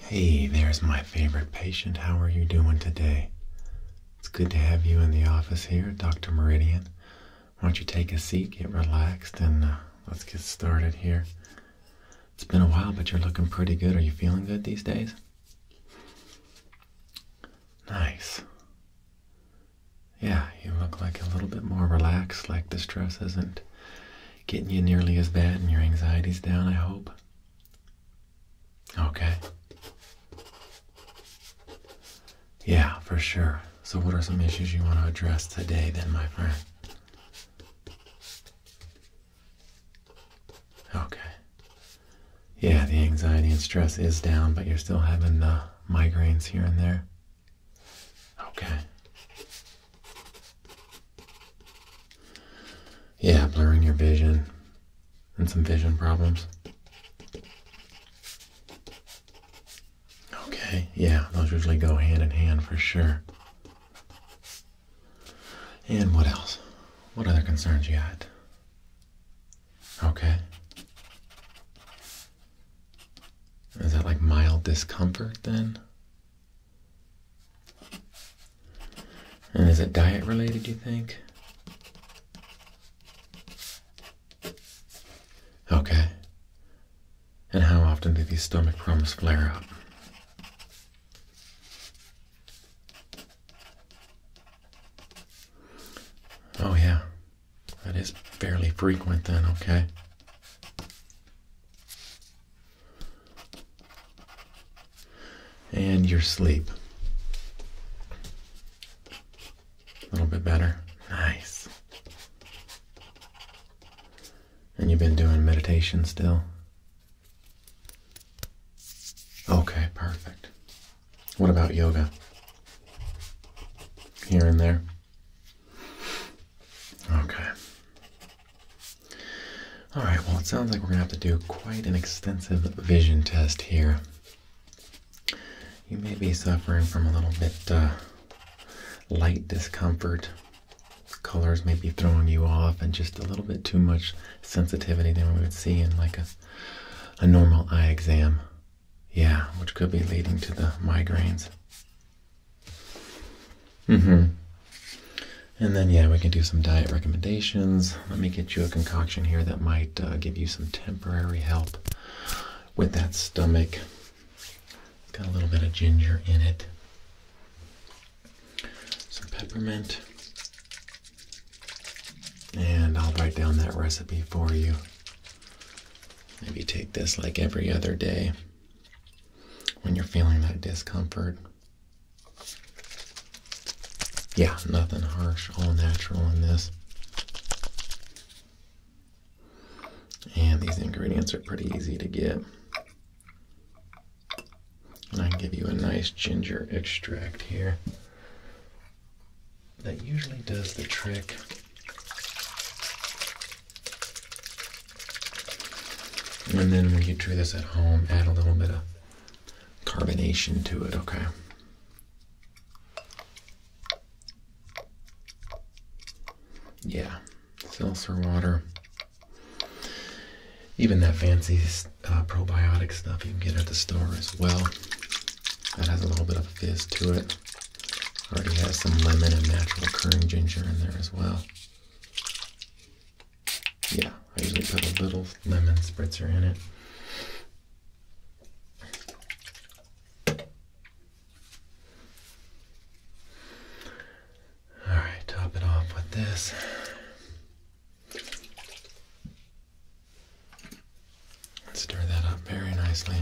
Hey, there's my favorite patient. How are you doing today? It's good to have you in the office here, Dr. Meridian. Why don't you take a seat, get relaxed, and uh, let's get started here. It's been a while, but you're looking pretty good. Are you feeling good these days? Nice. Yeah, you look like a little bit more relaxed, like the stress isn't getting you nearly as bad and your anxiety's down, I hope. Okay. Yeah, for sure. So, what are some issues you want to address today, then, my friend? Okay. Yeah, the anxiety and stress is down, but you're still having the migraines here and there. Okay. Yeah, blurring your vision and some vision problems. Okay, yeah, those usually go hand in hand for sure. And what else? What other concerns you had? Okay. Is that like mild discomfort then? And is it diet related, you think? Okay. And how often do these stomach problems flare up? Oh, yeah. That is fairly frequent then, okay and your sleep. A little bit better. Nice. And you've been doing meditation still? Okay, perfect. What about yoga? Here and there? Okay. All right, well, it sounds like we're gonna have to do quite an extensive vision test here. You may be suffering from a little bit uh, light discomfort. Colors may be throwing you off, and just a little bit too much sensitivity than we would see in like a a normal eye exam. Yeah, which could be leading to the migraines. Mm-hmm. And then, yeah, we can do some diet recommendations. Let me get you a concoction here that might uh, give you some temporary help with that stomach. got a little bit of ginger in it, some peppermint, and I'll write down that recipe for you. Maybe take this like every other day when you're feeling that discomfort. Yeah, nothing harsh, all natural in this. And these ingredients are pretty easy to get. And I give you a nice ginger extract here that usually does the trick. And then when you do this at home, add a little bit of carbonation to it, okay? Yeah, seltzer water. Even that fancy uh, probiotic stuff you can get at the store as well. That has a little bit of fizz to it. Already has some lemon and natural currant ginger in there as well. Yeah, I usually put a little lemon spritzer in it. Alright, top it off with this. Stir that up very nicely.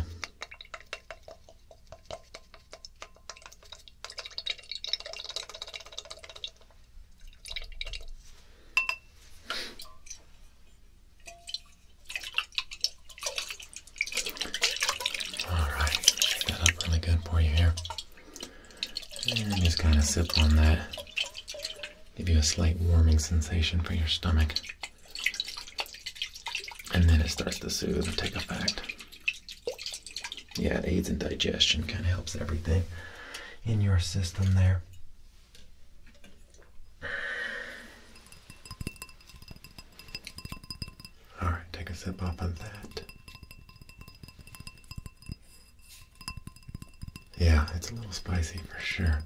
All right, shake that up really good for you here. And just kind of sip on that. Give you a slight warming sensation for your stomach. And then it starts to soothe and take effect. Yeah, it aids in digestion, kind of helps everything in your system there. All right, take a sip off of that. Yeah, it's a little spicy for sure.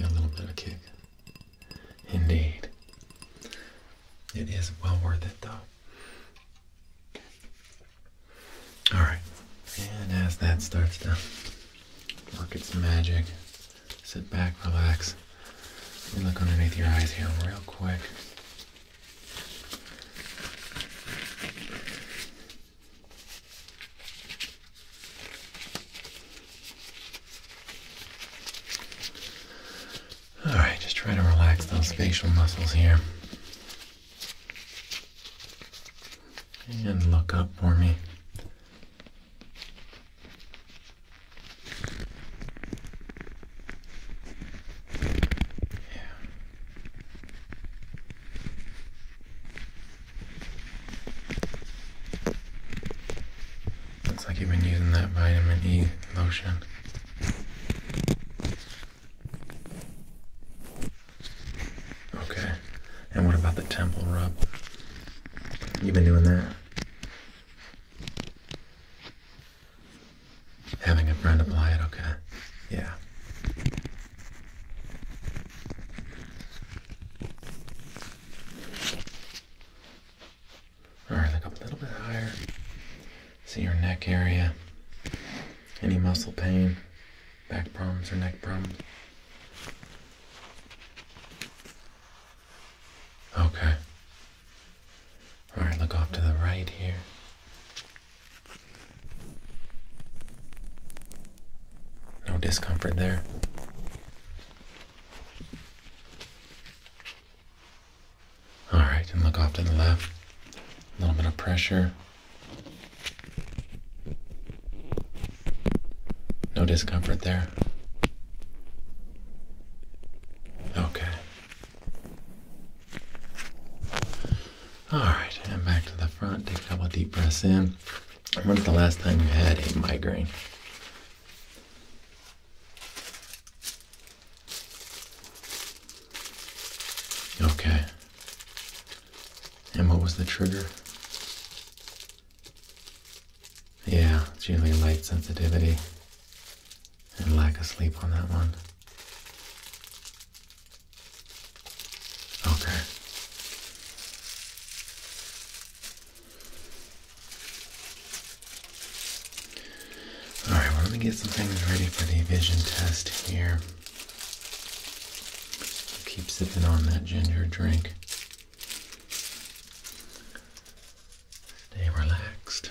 a little bit of kick. Indeed. It is well worth it, though. Alright. And as that starts to work its magic, sit back, relax. and look underneath your eyes here real quick. All right, just try to relax those facial muscles here. And look up for me. Yeah. Looks like you've been using that vitamin E lotion. Okay. And what about the temple rub? You've been doing that? Having a friend apply it, okay. Yeah. All right, look up a little bit higher. See your neck area. Any muscle pain, back problems, or neck problems? Okay. All right, look off to the right here. No discomfort there. All right, and look off to the left. A little bit of pressure. No discomfort there. Okay. All right, and back to the front. Take a couple deep breaths in. When's the last time you had a migraine? Okay. And what was the trigger? Yeah, it's usually light sensitivity and lack of sleep on that one. Okay. Alright, we right, we're gonna get some things ready for the vision test here. Keep sipping on that ginger drink. Stay relaxed.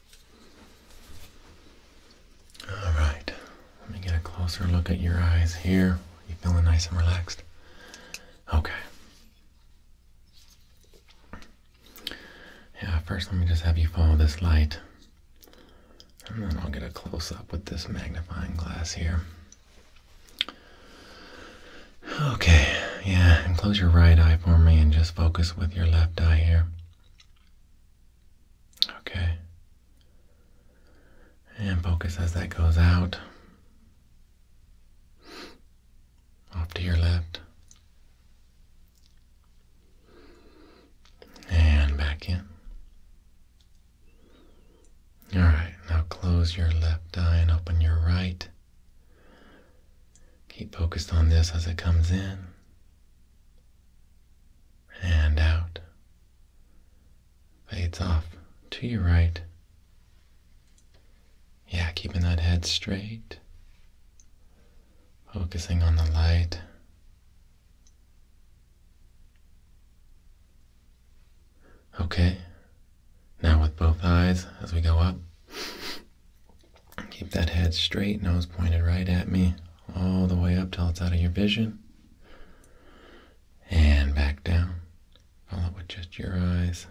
All right, let me get a closer look at your eyes here. You feeling nice and relaxed? Okay. Yeah, first let me just have you follow this light. And then I'll get a close up with this magnifying glass here. Okay, yeah, and close your right eye for me and just focus with your left eye here. Okay. And focus as that goes out. Off to your left. And back in. Alright, now close your left eye and open your right. Keep focused on this as it comes in and out. Fades off to your right. Yeah, keeping that head straight. Focusing on the light. Okay, now with both eyes as we go up, Keep that head straight, nose pointed right at me, all the way up till it's out of your vision. And back down. Follow with just your eyes.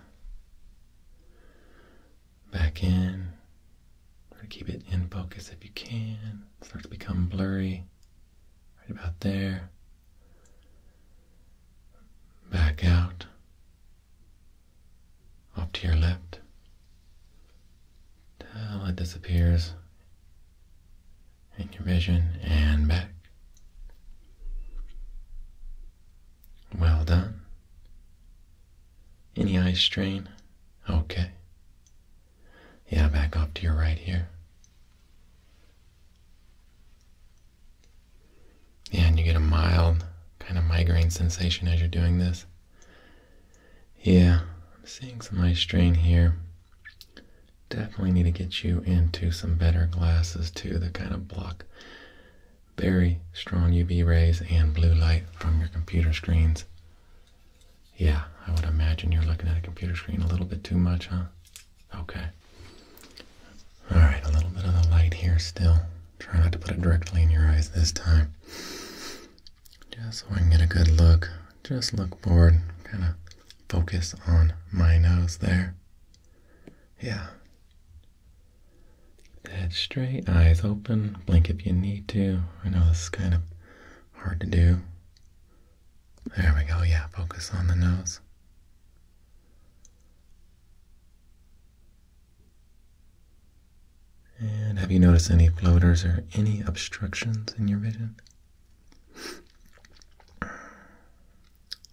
Back in. Keep it in focus if you can. Start to become blurry. Right about there. Back out. Off to your left till it disappears in your vision and back. Well done. Any eye strain? Okay. Yeah, back up to your right here. Yeah, and you get a mild kind of migraine sensation as you're doing this. Yeah, I'm seeing some eye strain here. Definitely need to get you into some better glasses too that kind of block very strong UV rays and blue light from your computer screens. Yeah, I would imagine you're looking at a computer screen a little bit too much, huh? Okay. All right, a little bit of the light here still. Try not to put it directly in your eyes this time. Just so I can get a good look. Just look forward. Kind of focus on my nose there. Yeah. Head straight, eyes open. Blink if you need to. I know this is kind of hard to do. There we go. Yeah, focus on the nose. And have you noticed any floaters or any obstructions in your vision?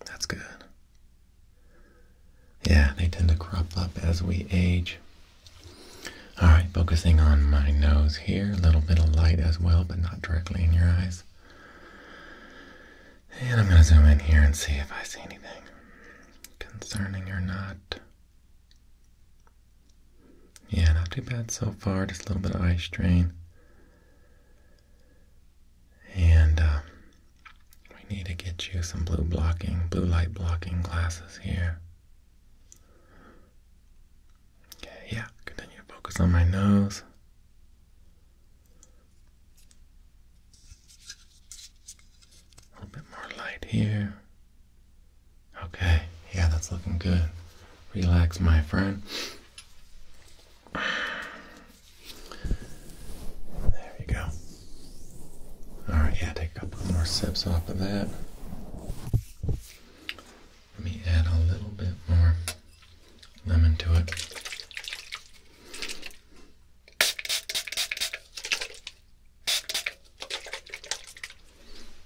That's good. Yeah, they tend to crop up as we age. Alright, focusing on my nose here. A little bit of light as well, but not directly in your eyes. And I'm going to zoom in here and see if I see anything concerning or not. Yeah, not too bad so far, just a little bit of eye strain. And uh, we need to get you some blue blocking, blue light blocking glasses here. Okay, yeah, continue to focus on my nose. A little bit more light here. Okay, yeah, that's looking good. Relax, my friend. There you go. Alright, yeah, take a couple more sips off of that. Let me add a little bit more lemon to it.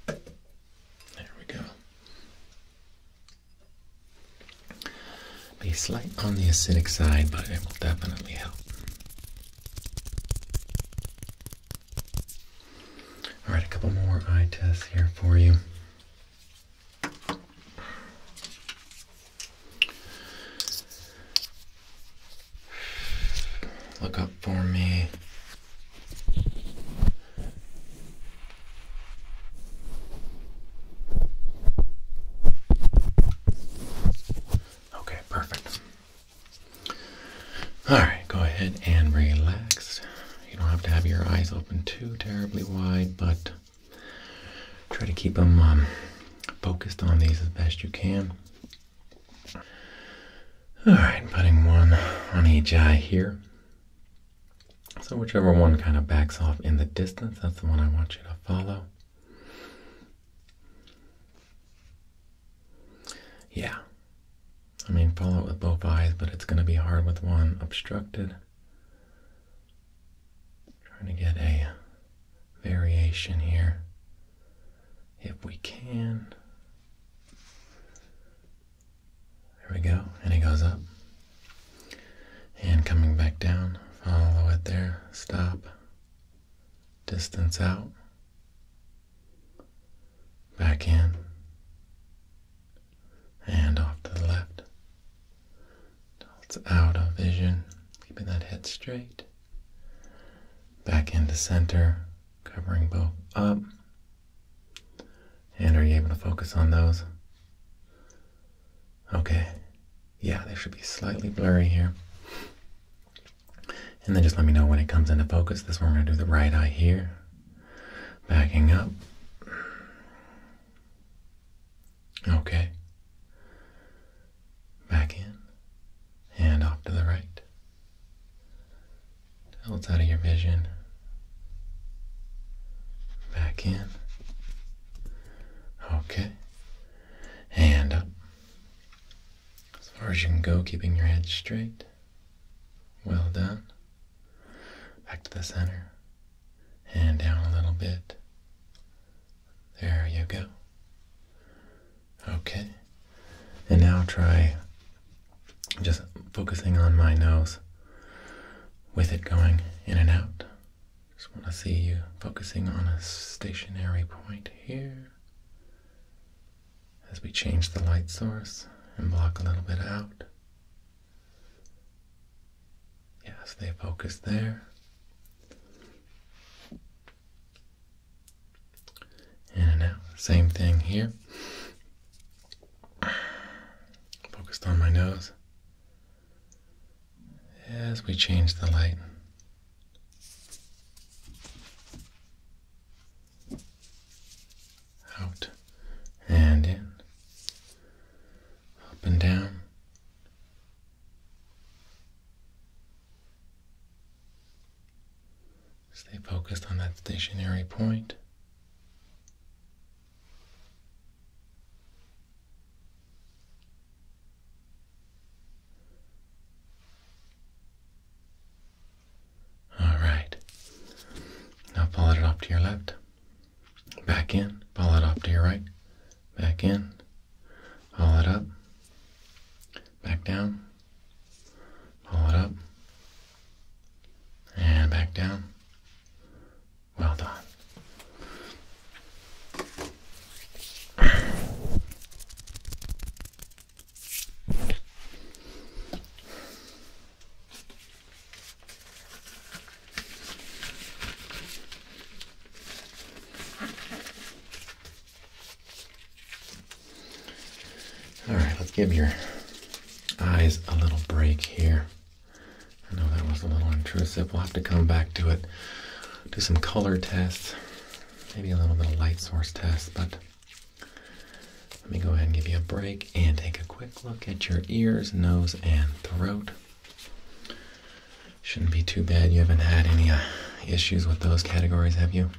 There we go. Be slight on the acidic side, but it will definitely help. All right, a couple more eye tests here for you. Look up for me. Okay, perfect. All right, go ahead and relax. You don't have to have your eyes open too terribly wide, but try to keep them um, focused on these as best you can. All right, putting one on each eye here. So whichever one kind of backs off in the distance, that's the one I want you to follow. Yeah. I mean, follow it with both eyes, but it's going to be hard with one obstructed. Trying to get a variation here if we can. There we go, and it goes up. And coming back down, follow it there, stop, distance out, back in, and off to the left. It's out of vision, keeping that head straight. Back into center, covering both up. And are you able to focus on those? Okay. Yeah, they should be slightly blurry here. And then just let me know when it comes into focus. This one we're going to do the right eye here. Backing up. Okay. Back in. And off to the right. Now out of your vision. Back in. Okay. Hand up. As far as you can go, keeping your head straight. Well done. Back to the center. Hand down a little bit. There you go. Okay. And now try just focusing on my nose with it going in and out. Just want to see you focusing on a stationary point here as we change the light source and block a little bit out. Yes, they focus there. In and out. Same thing here. Focused on my nose as we change the light. Out and in, up and down, Stay focused on that stationary point. All right. Now pull it off to your left. Back in. Pull it off to your right. Back in. Pull it up. Back down. Pull it up. And back down. Well done. All right, let's give your eyes a little break here. I know that was a little intrusive. We'll have to come back to it, do some color tests, maybe a little bit of light source tests. but let me go ahead and give you a break and take a quick look at your ears, nose, and throat. Shouldn't be too bad. You haven't had any uh, issues with those categories, have you?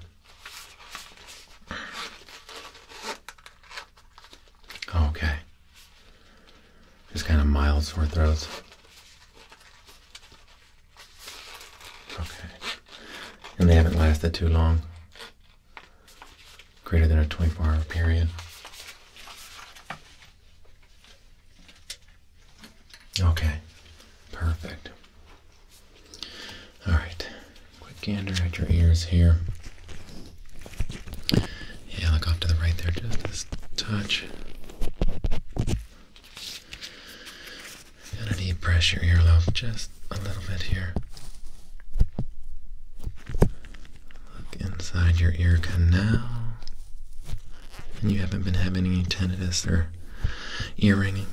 Okay. Just kind of mild sore throats. Okay. And they haven't lasted too long. Greater than a 24 hour period. Okay. Perfect. All right, quick gander at your ears here. Yeah, look off to the right there, just a touch. got to need press your earlobe just a little bit here. Look inside your ear canal. And you haven't been having any tinnitus or ear ringing.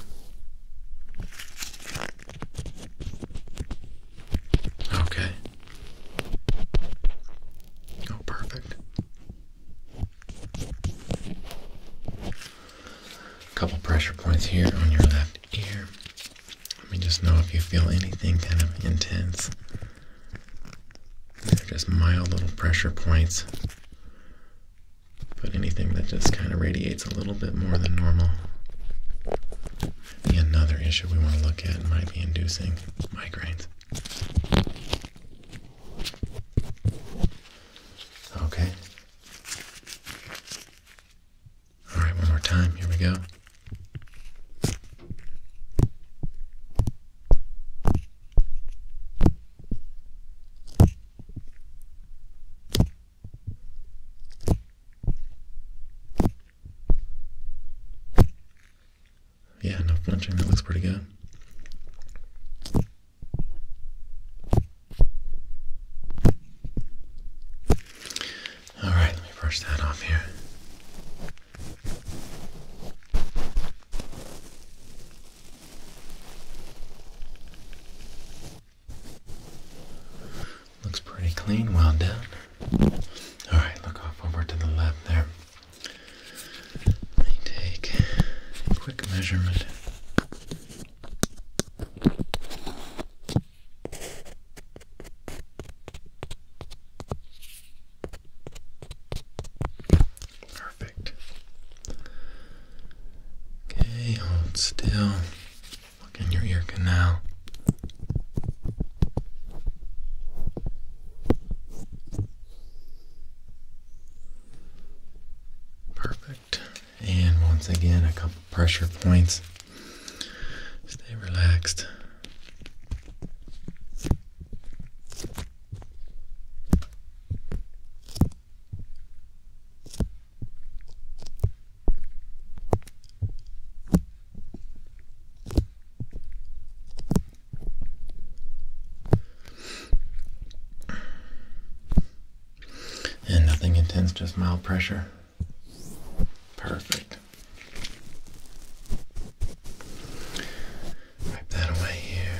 Okay. Oh, perfect. Couple pressure points here on your left ear. Let me just know if you feel anything kind of intense. They're just mild little pressure points but anything that just kind of radiates a little bit more than normal. another issue we want to look at might be inducing migraines. Okay. All right, one more time. Here we go. Yeah, no flinching. That looks pretty good. All right, let me brush that off here. Looks pretty clean, well done. Alright, look off over to the left there. Let me take quick measurement. Perfect. Okay, hold still. Look in your ear canal. Perfect. And once again, a couple pressure points. Stay relaxed. And nothing intense, just mild pressure. Perfect. Wipe that away here.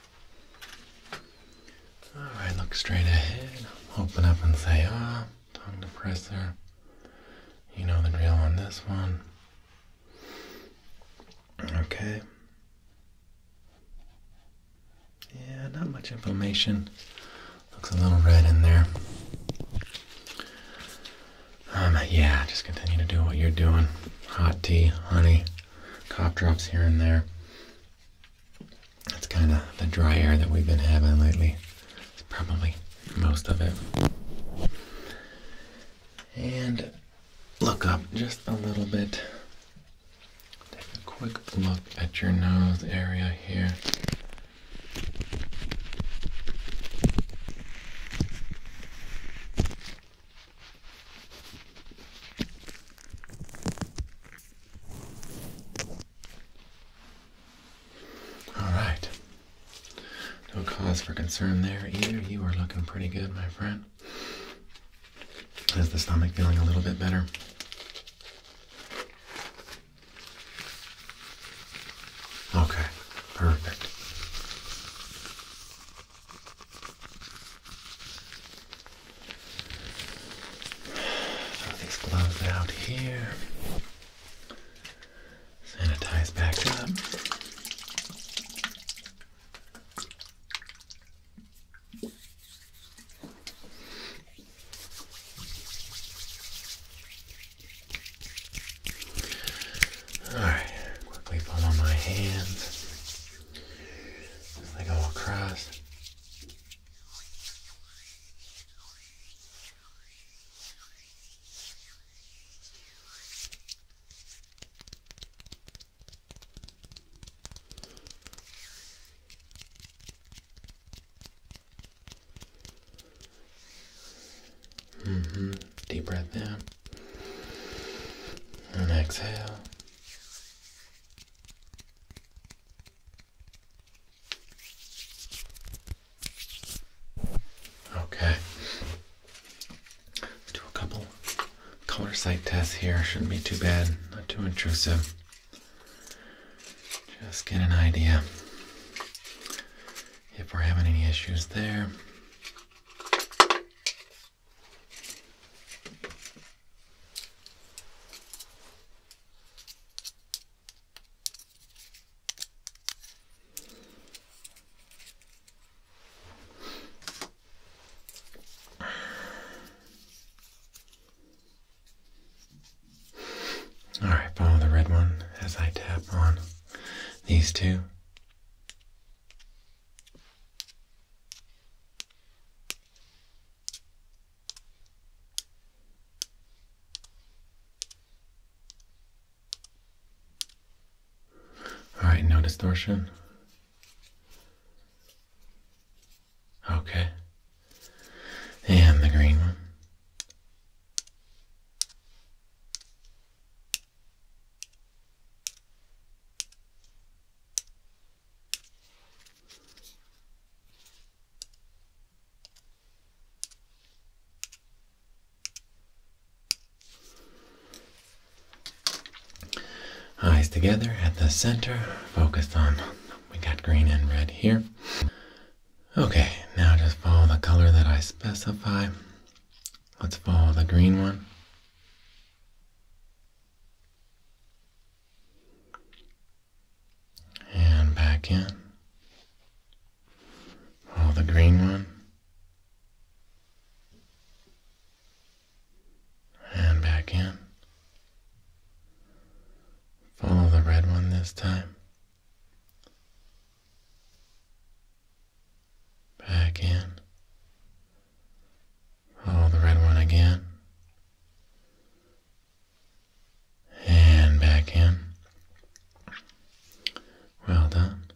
Alright, look straight ahead. Open up and say ah. Tongue depressor. You know the drill on this one. Okay. Yeah, not much inflammation. Looks a little red in there. Um, yeah, just continue to do what you're doing. Hot tea, honey, cop drops here and there. That's kind of the dry air that we've been having lately. It's probably most of it. And look up just a little bit. Take a quick look at your nose area here. All right. No cause for concern there either. You are looking pretty good, my friend. Is the stomach feeling a little bit better? Okay, perfect. Throw these gloves out here. Sanitize back up. Alright, quickly follow my hands as they go across. Mm-hmm. Deep breath in. And exhale. Okay. do a couple color sight tests here. Shouldn't be too bad, not too intrusive. Just get an idea if we're having any issues there. All right, follow the red one as I tap on these two. All right, no distortion. Okay. And the green one. Eyes together at the center, focused on. We got green and red here. Okay, now just follow the color that I specify. Let's follow the green one and back in. Hold the green one and back in. Follow the red one this time. Back in Oh, the red one again. And back in. Well done.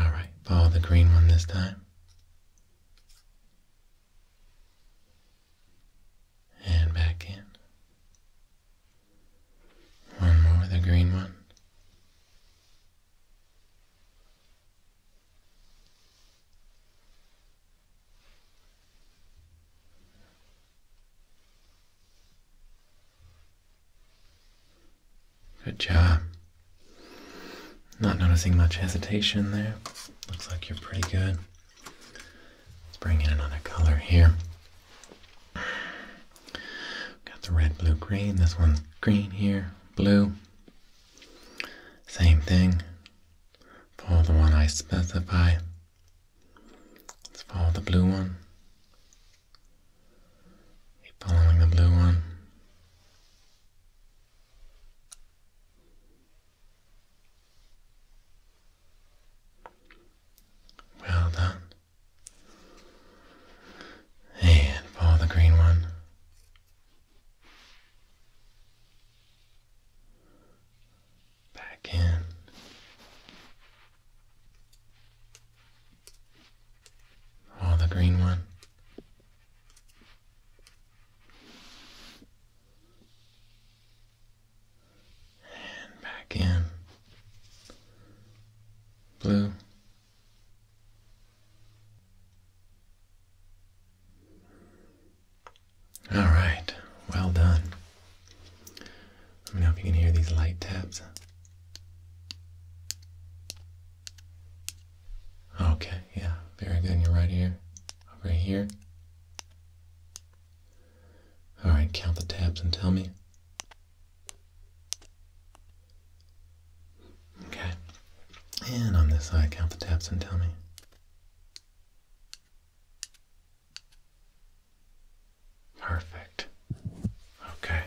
Alright, follow the green one this time. And back in. One more, the green one. Good job. Not noticing much hesitation there. Looks like you're pretty good. Let's bring in another color here. Got the red, blue, green. This one's green here, blue. Same thing. Follow the one I specify. Let's follow the blue one. following the blue one. Well done. And follow the green one. Back in. Oh, the green one. And back in. Blue. All right, well done. Let me know if you can hear these light taps. Okay, yeah, very good. You're right here. over here. All right, count the taps and tell me. Okay, and on this side, count the taps and tell me. Perfect. Okay.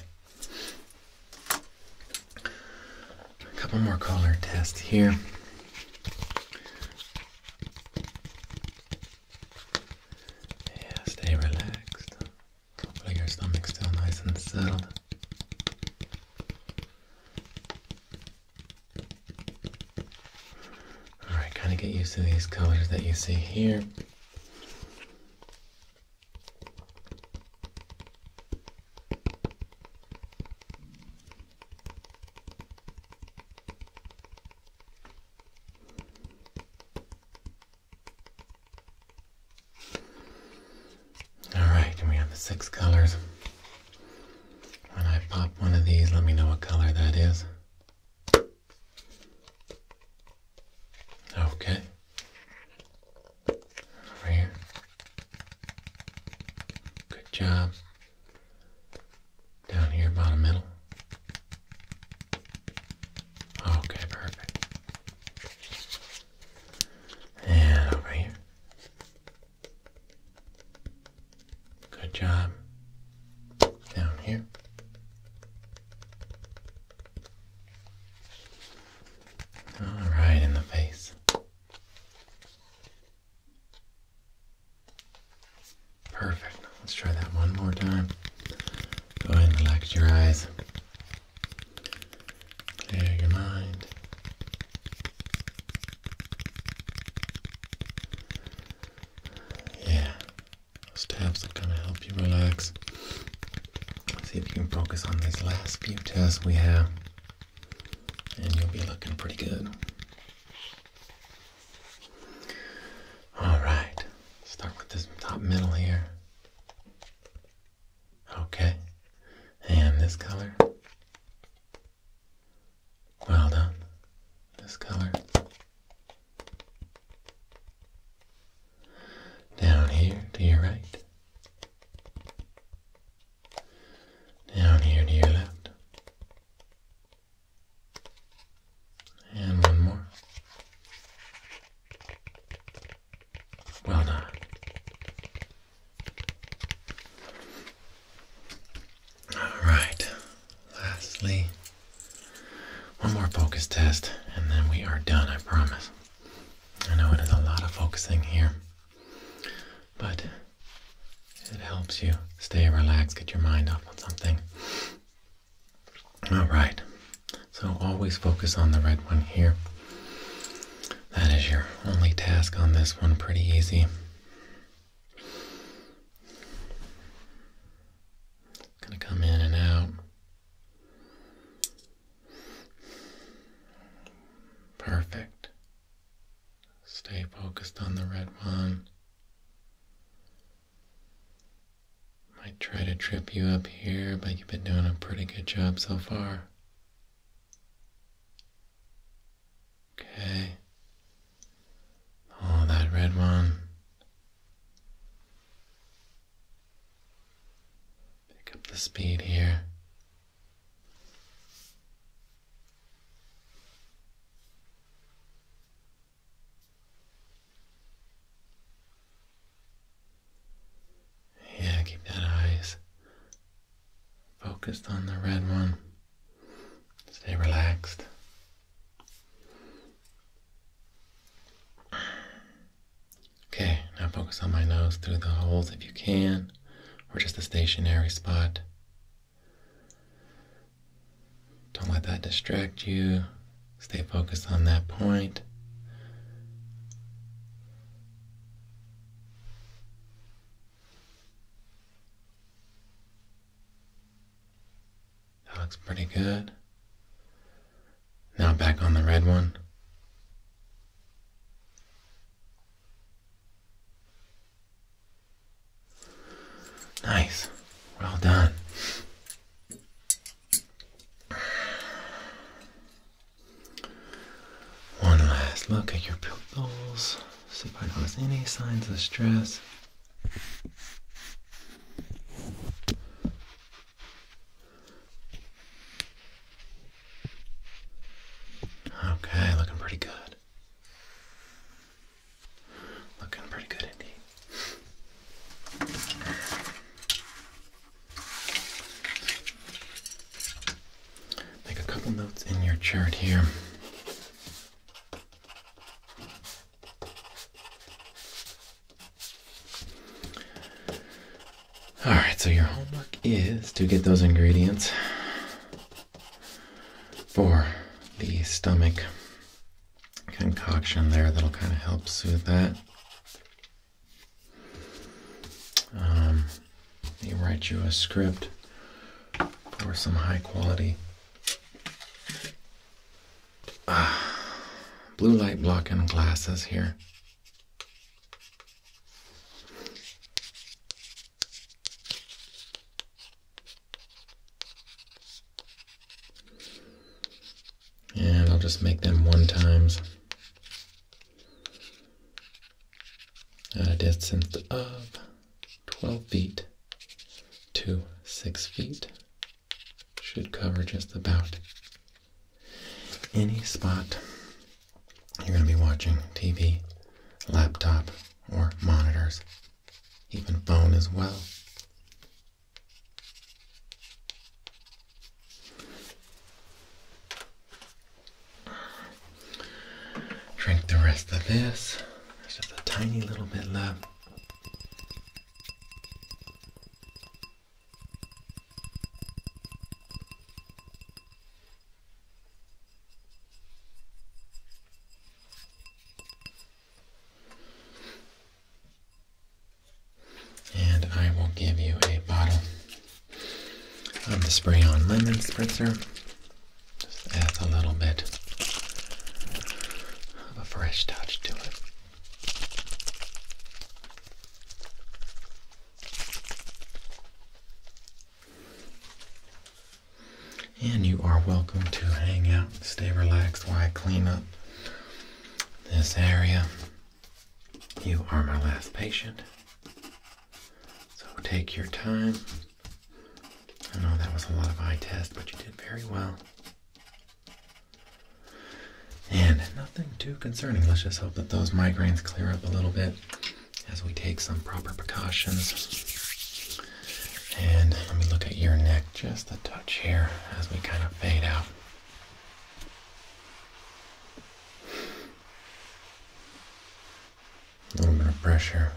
A couple more color tests here. Yeah, stay relaxed. Hopefully your stomach's still nice and settled. Alright, kind of get used to these colors that you see here. Alright, we have the six colors. When I pop one of these, let me know what color that is. Okay. Over here. Good job. Down here, bottom middle. Okay, perfect. And over here. Good job. Down here. All right, in the face. Perfect. Let's try that one more time. Go ahead and relax your eyes. Clear your mind. Yeah, those tabs are gonna help you relax. see if you can focus on these last few tests we have, and you'll be looking pretty good. All right, start with this top middle here. Okay, and this color. Well done. This color. Down here to your right. Down here to your left. And one more. Well done. All right, lastly, one more focus test and then we are done, I promise. I know it is a lot of focusing here, but it helps you stay relaxed, get your mind off on something. All right, so always focus on the red one here. That is your only task on this one, pretty easy. Gonna come in and out. Perfect. Stay focused on the red one. Might try to trip you up here, but you've been doing a pretty good job so far. Okay. Oh, that red one. Pick up the speed here. Yeah, keep that eyes focused on the red one. Stay relaxed. Okay, now focus on my nose through the holes if you can, or just a stationary spot. Don't let that distract you. Stay focused on that point. That looks pretty good. Now back on the red one. Nice. Well done. One last look at your pupils. See if I notice any signs of stress, okay, looking pretty good. Looking pretty good indeed make a couple notes in your chart here. Alright, so your homework is to get those ingredients for the stomach concoction there that'll kind of help soothe that. Um, they write you a script for some high quality ah, blue light blocking glasses here. And I'll just make them one times at a of 12 feet to 6 feet should cover just about any spot you're going to be watching TV, laptop, or monitors, even phone as well. Drink the rest of this. There's just a tiny little bit left. And I will give you a bottle of the spray on lemon spritzer. Just adds a little bit of a fresh touch to it. And you are welcome to hang out, stay relaxed while I clean up this area. You are my last patient. So take your time. I know that was a lot of eye test, but you did very well. And nothing too concerning. Let's just hope that those migraines clear up a little bit as we take some proper precautions. And let me look at your neck just a touch here as we kind of fade out. A little bit of pressure.